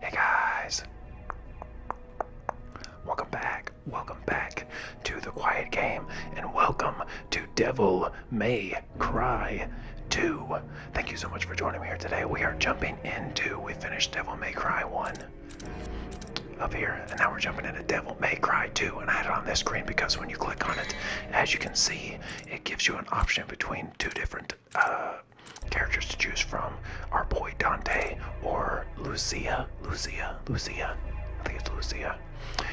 Hey guys! Welcome back, welcome back to The Quiet Game, and welcome to Devil May Cry 2. Thank you so much for joining me here today. We are jumping into, we finished Devil May Cry 1 up here, and now we're jumping into Devil May Cry 2, and I had it on this screen because when you click on it, as you can see, it gives you an option between two different uh, characters to choose from our boy Dante or Lucia. Lucia. Lucia. I think it's Lucia.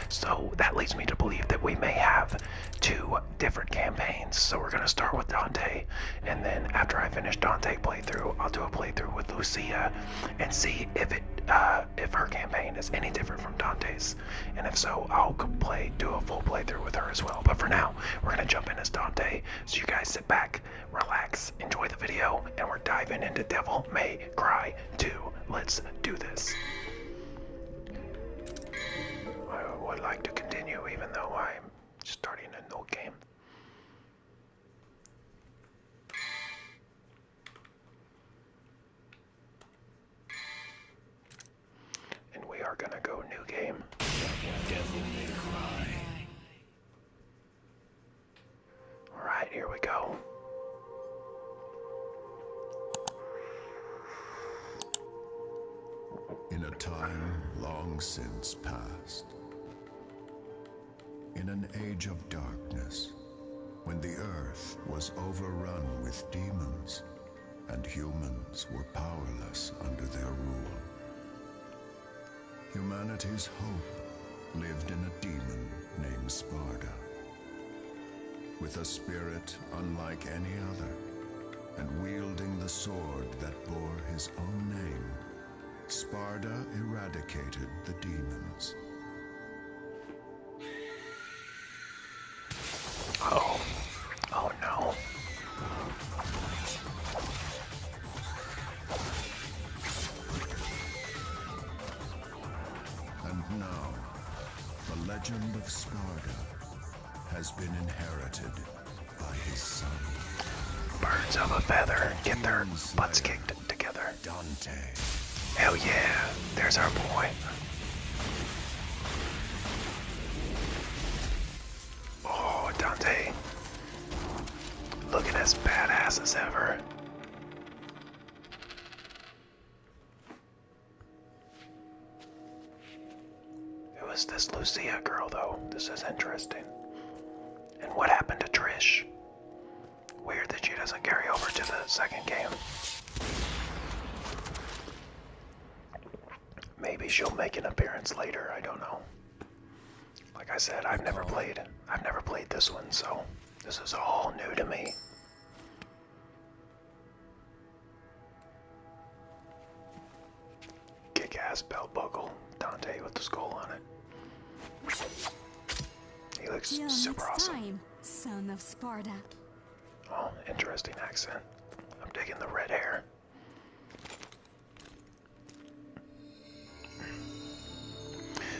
So that leads me to believe that we may have two different campaigns. So we're going to start with Dante, and then after I finish Dante playthrough, I'll do a playthrough with Lucia and see if it uh, if her campaign is any different from Dante's. And if so, I'll play do a full playthrough with her as well. But for now, we're going to jump in as Dante so you guys sit back, relax, enjoy the video, and we're diving into Devil May Cry 2. Let's do this. I would like to continue even though I'm starting a new game and we are gonna go new game. All right, here we go. In a time long since past, in an age of darkness, when the earth was overrun with demons and humans were powerless under their rule. Humanity's hope lived in a demon named Sparda. With a spirit unlike any other, and wielding the sword that bore his own name, Sparda eradicated the demons. Oh. Oh and now, the legend of Sparta has been inherited by his son. Birds of a feather get their butts kicked together. Dante. Hell yeah, there's our boy. Oh, Dante. Looking as badass as ever. It was this Lucia girl, though. This is interesting. And what happened to Trish? Weird that she doesn't carry over to the second game. Maybe she'll make an appearance later, I don't know. Like I said, I've never played. I've never played this one, so this is all new to me. Kick-ass belt buckle, Dante with the skull on it. He looks super awesome. Time, son of Sparta. Oh, interesting accent. I'm digging the red hair.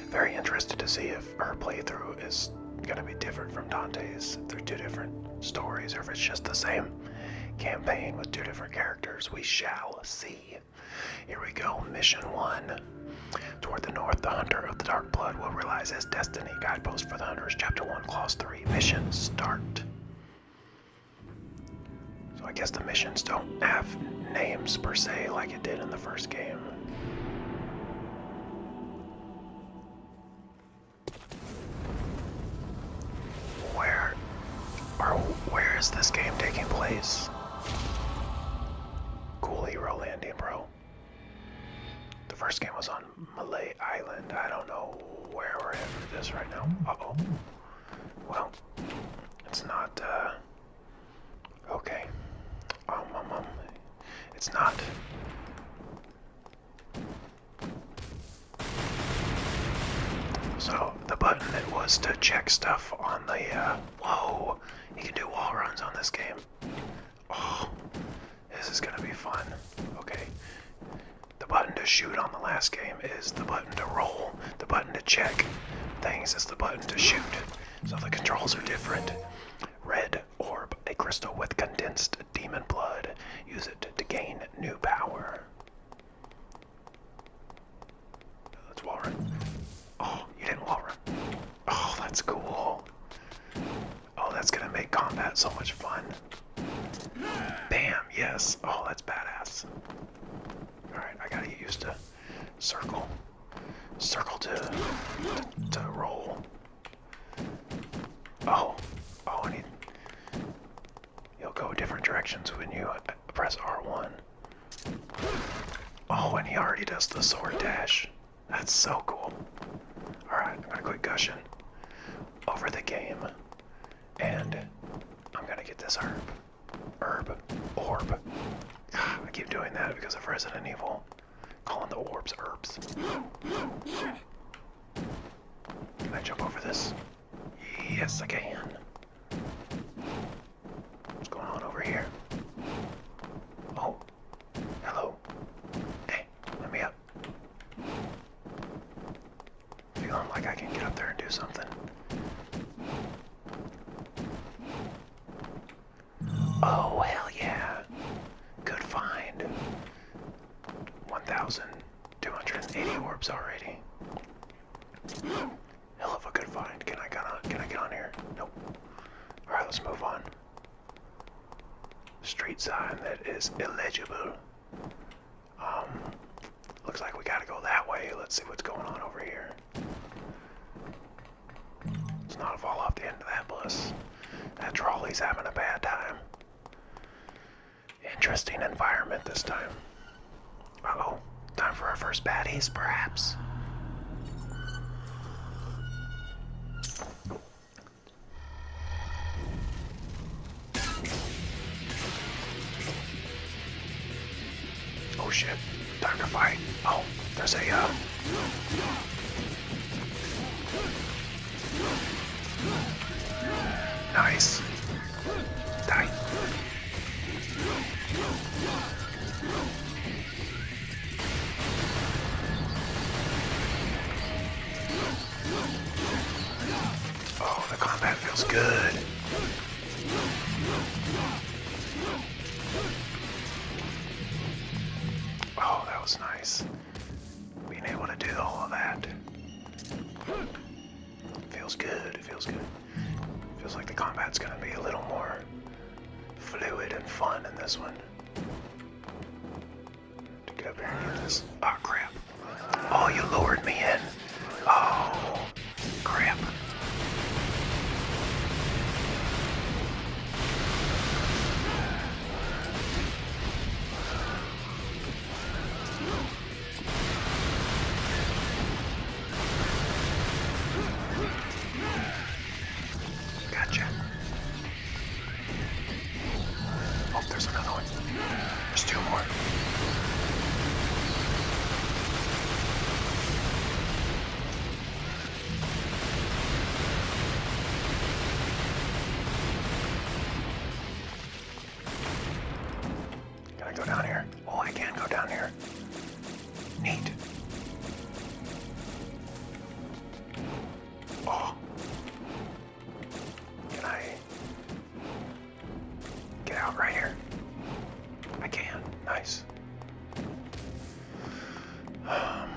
Very interested to see if her playthrough is gonna be different from Dante's. If they're two different stories, or if it's just the same campaign with two different characters. We shall see. Here we go, mission one. Toward the north, the hunter of the dark blood will realize his destiny. Guidepost for the hunters, chapter one, clause three. Mission start. So I guess the missions don't have names per se like it did in the first game. Where or where is this game taking place? Cool hero landing, bro. The first game was on Malay Island. I don't know where we're at for this right now. Well, it's not, uh, okay. Um, um, um, it's not. So, the button that was to check stuff on the, uh, whoa, you can do wall runs on this game. Oh, this is gonna be fun. Okay, the button to shoot on the last game is the button to roll, the button to check things is the button to shoot. So the controls are different. Red orb, a crystal with condensed demon blood. Use it to gain new power. That's wall Oh, you didn't wall Oh, that's cool. Oh, that's gonna make combat so much fun. Bam, yes. Oh, that's badass. Alright, I gotta use the circle. Circle to, to, to roll. Oh, oh, I need. He'll go different directions when you uh, press R1. Oh, and he already does the sword dash. That's so cool. Alright, I'm gonna quit gushing over the game and I'm gonna get this herb. Herb. Orb. I keep doing that because of Resident Evil. Calling the orbs herbs. Can I jump over this? Yes, I can. What's going on over here? Oh. Hello. Hey, let me up. Feeling like I can get up there and do something. Oh, hell yeah. Good find. 1,280 orbs already. Hell of a good find. Can I get on, can I get on here? Nope. Alright, let's move on. Street sign that is illegible. Um, looks like we gotta go that way. Let's see what's going on over here. let not fall off the end of that bus. That trolley's having a bad time. Interesting environment this time. Uh-oh. Time for our first baddies, perhaps? Oh shit, time to fight. Oh, there's a, uh... Nice. Oh, the combat feels good. Oh, that was nice. Being able to do all of that. Feels good, it feels good. Feels like the combat's gonna be a little more fluid and fun in this one. To get up here and this. Ah, crap. Oh, you lured me in. Oh, crap. Gotcha. Oh, there's another one. There's two more. Can I go down here? Oh, I can go down here. Neat. Oh. Can I Get out right here. I can. Nice. Um,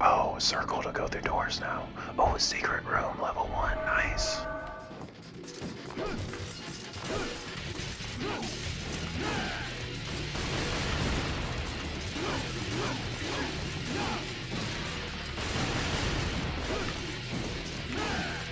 oh, circle to go through doors now. Oh, secret room, level one. Nice.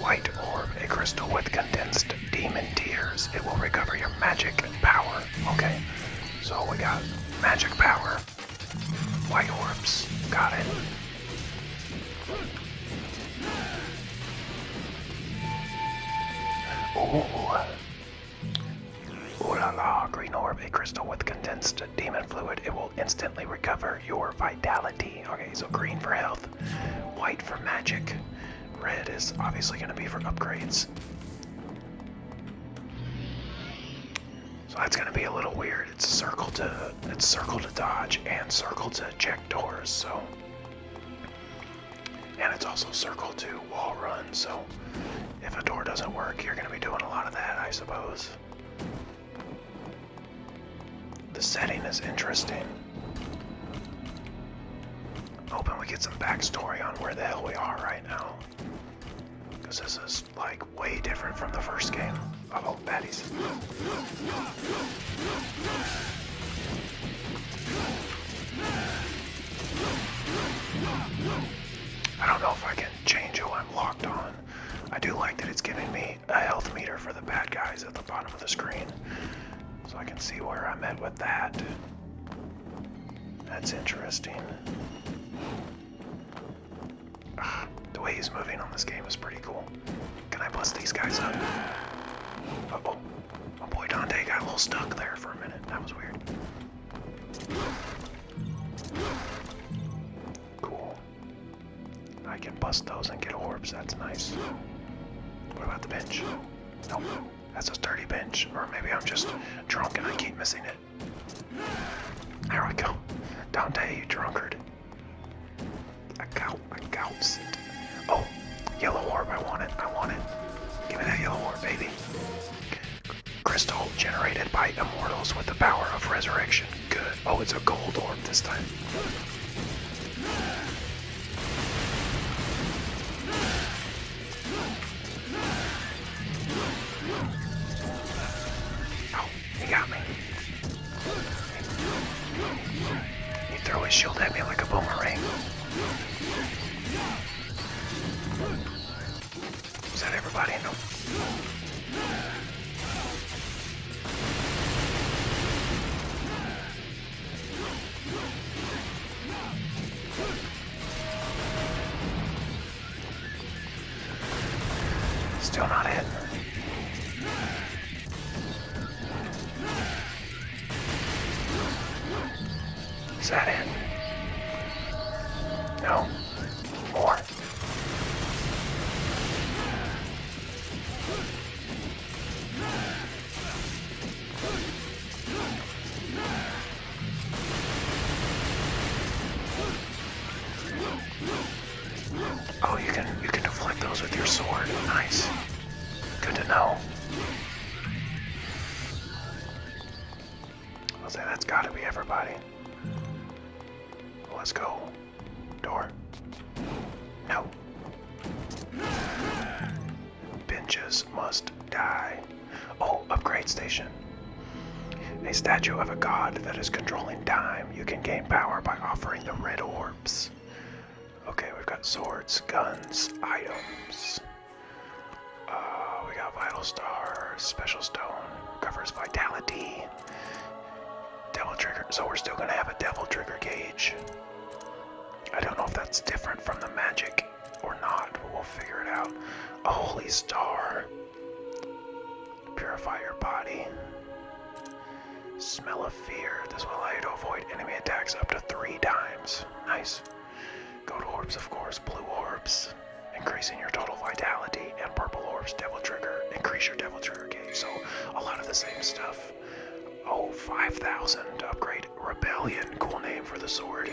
White orb, a crystal with condensed demon tears. It will recover your magic power. Okay, so we got magic power. White orbs, got it. Ooh. Ooh la la, green orb, a crystal with condensed demon fluid. It will instantly recover your vitality. Okay, so green for health, white for magic, red is obviously going to be for upgrades. So that's going to be a little weird. It's circle to it's circle to dodge and circle to check doors. So and it's also circle two wall run, so if a door doesn't work, you're going to be doing a lot of that, I suppose. The setting is interesting. Hoping we get some backstory on where the hell we are right now. Because this is, like, way different from the first game. Oh, baddies. I don't know if I can change who I'm locked on. I do like that it's giving me a health meter for the bad guys at the bottom of the screen. So I can see where I'm at with that. That's interesting. the way he's moving on this game is pretty cool. Can I bust these guys up? Uh Oh boy, Dante got a little stuck there for a minute. That was weird. Cool. I can bust those and get orbs. That's nice. What about the bench? Nope. That's a sturdy bench. Or maybe I'm just drunk and I keep missing it. There we go. Dante, you drunkard. I got out. Oh, I Oh, yellow orb. I want it. I want it. Give me that yellow orb, baby. Crystal generated by immortals with the power of resurrection. Good. Oh, it's a gold orb this time. Oh, he got me. He threw his shield at me like a boomerang. Is that everybody? No. Still not hit. Is that it? No. More. Oh, you can you can deflect those with your sword. Nice. Good to know. I'll say that's gotta be everybody. Let's go. Door. No. Benches must die. Oh, upgrade station. A statue of a god that is controlling time. You can gain power by offering the red orbs. Okay, we've got swords, guns, items. Uh, we got Vital Star, Special Stone, covers Vitality, Devil Trigger. So we're still going to have a Devil Trigger gauge. I don't know if that's different from the magic or not, but we'll figure it out. Holy Star. Purify your body. Smell Fear. This will allow you to avoid enemy attacks up to three times. Nice. Gold orbs, of course. Blue orbs, increasing your total vitality. And purple orbs, Devil Trigger, increase your Devil Trigger gauge. So a lot of the same stuff. Oh, 5,000 upgrade. Rebellion, cool name for the sword.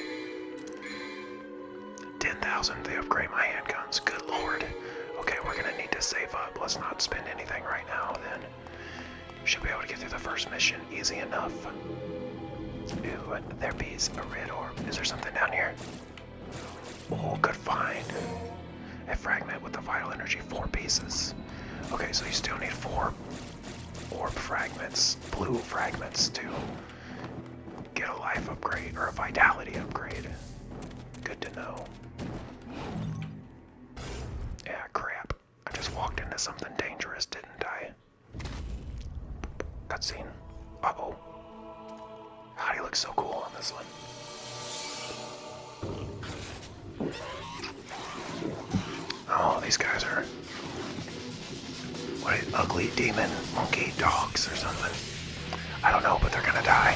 10,000, they upgrade my handguns. Good lord. Okay, we're gonna need to save up. Let's not spend anything right now then. Should be able to get through the first mission easy enough. Ooh, there bees a red orb. Is there something down here? Oh, good find. A fragment with the vital energy, four pieces. Okay, so you still need four orb fragments, blue fragments to get a life upgrade or a vitality upgrade. Good to know. Yeah, crap. I just walked into something dangerous, didn't I? Cutscene. Oh, oh. do you look so cool on this one. Oh, these guys are. What, ugly demon monkey dogs or something? I don't know, but they're gonna die.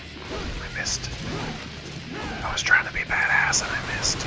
I missed. I was trying to be badass and I missed.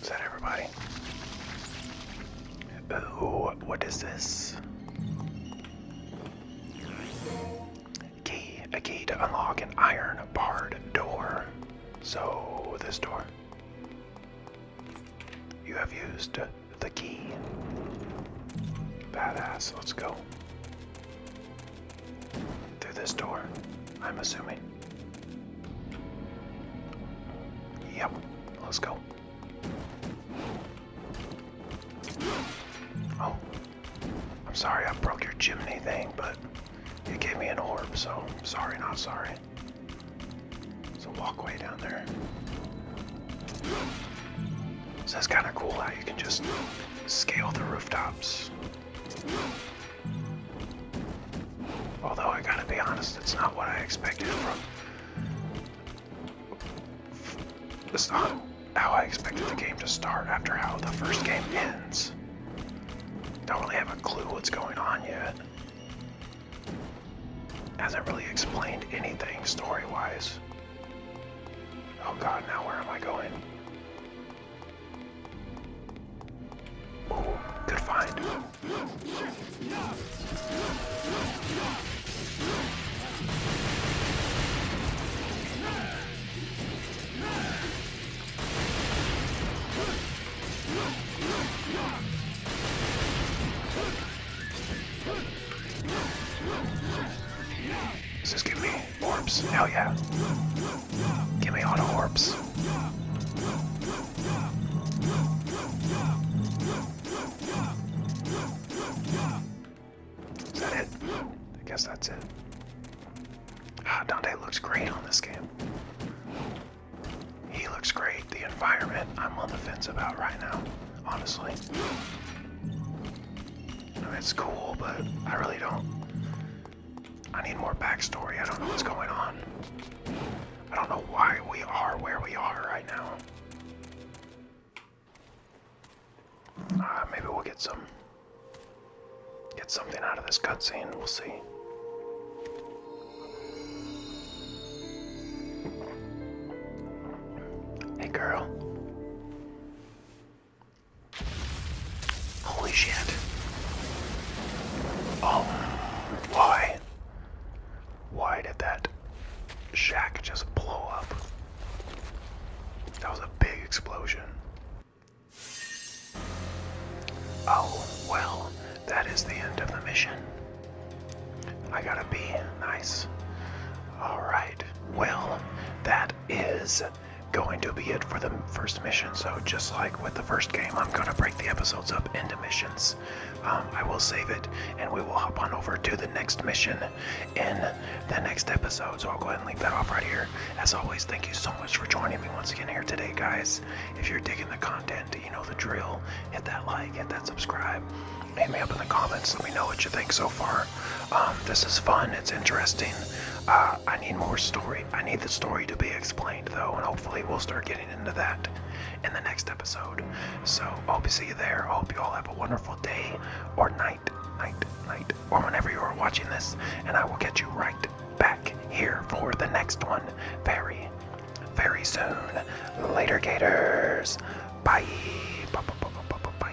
Is that everybody? Uh, what is this? Key, a key to unlock an iron barred door. So, this door. You have used the key. Badass, let's go. Through this door, I'm assuming. Yep, let's go. Oh, I'm sorry I broke your chimney thing, but it gave me an orb, so sorry, not sorry. It's a walkway down there. So that's kind of cool how you can just scale the rooftops. Although I gotta be honest, it's not what I expected from that's not how I expected the game to start after how the first game ends. Don't really have a clue what's going on yet. Hasn't really explained anything story-wise. Oh god, now where am I going? Oh, good find. Does this give me orbs? Hell yeah. Give me auto orbs. Is that it? I guess that's it. Ah, Dante looks great on this game. He looks great. The environment I'm on the fence about right now, honestly. it's cool, but I really don't. I need more backstory. I don't know what's going on. I don't know why we are where we are right now. Uh, maybe we'll get some get something out of this cutscene. We'll see. Hey, girl. Holy shit. Oh, why? Why did that shack just blow up? That was a big explosion. Oh, well, that is the end of the mission. I gotta be nice. Alright, well, that is going to be it for the first mission. So, just like with the first game, I'm gonna break the episodes up into missions. Um, I will save it and we will hop on over to the next mission in the next episode. So I'll go ahead and leave that off right here. As always, thank you so much for joining me once again here today, guys. If you're digging the content, you know the drill. Hit that like, hit that subscribe. Hit me up in the comments. Let me know what you think so far. Um, this is fun. It's interesting. Uh, I need more story. I need the story to be explained, though, and hopefully we'll start getting into that in the next episode. So hope to see you there. I hope you all have a wonderful day or night, night, night, or whenever you are watching this. And I will get you right back here for the next one very, very soon. Later, Gators. Bye. Bye. Bye. Bye. Bye.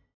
Bye.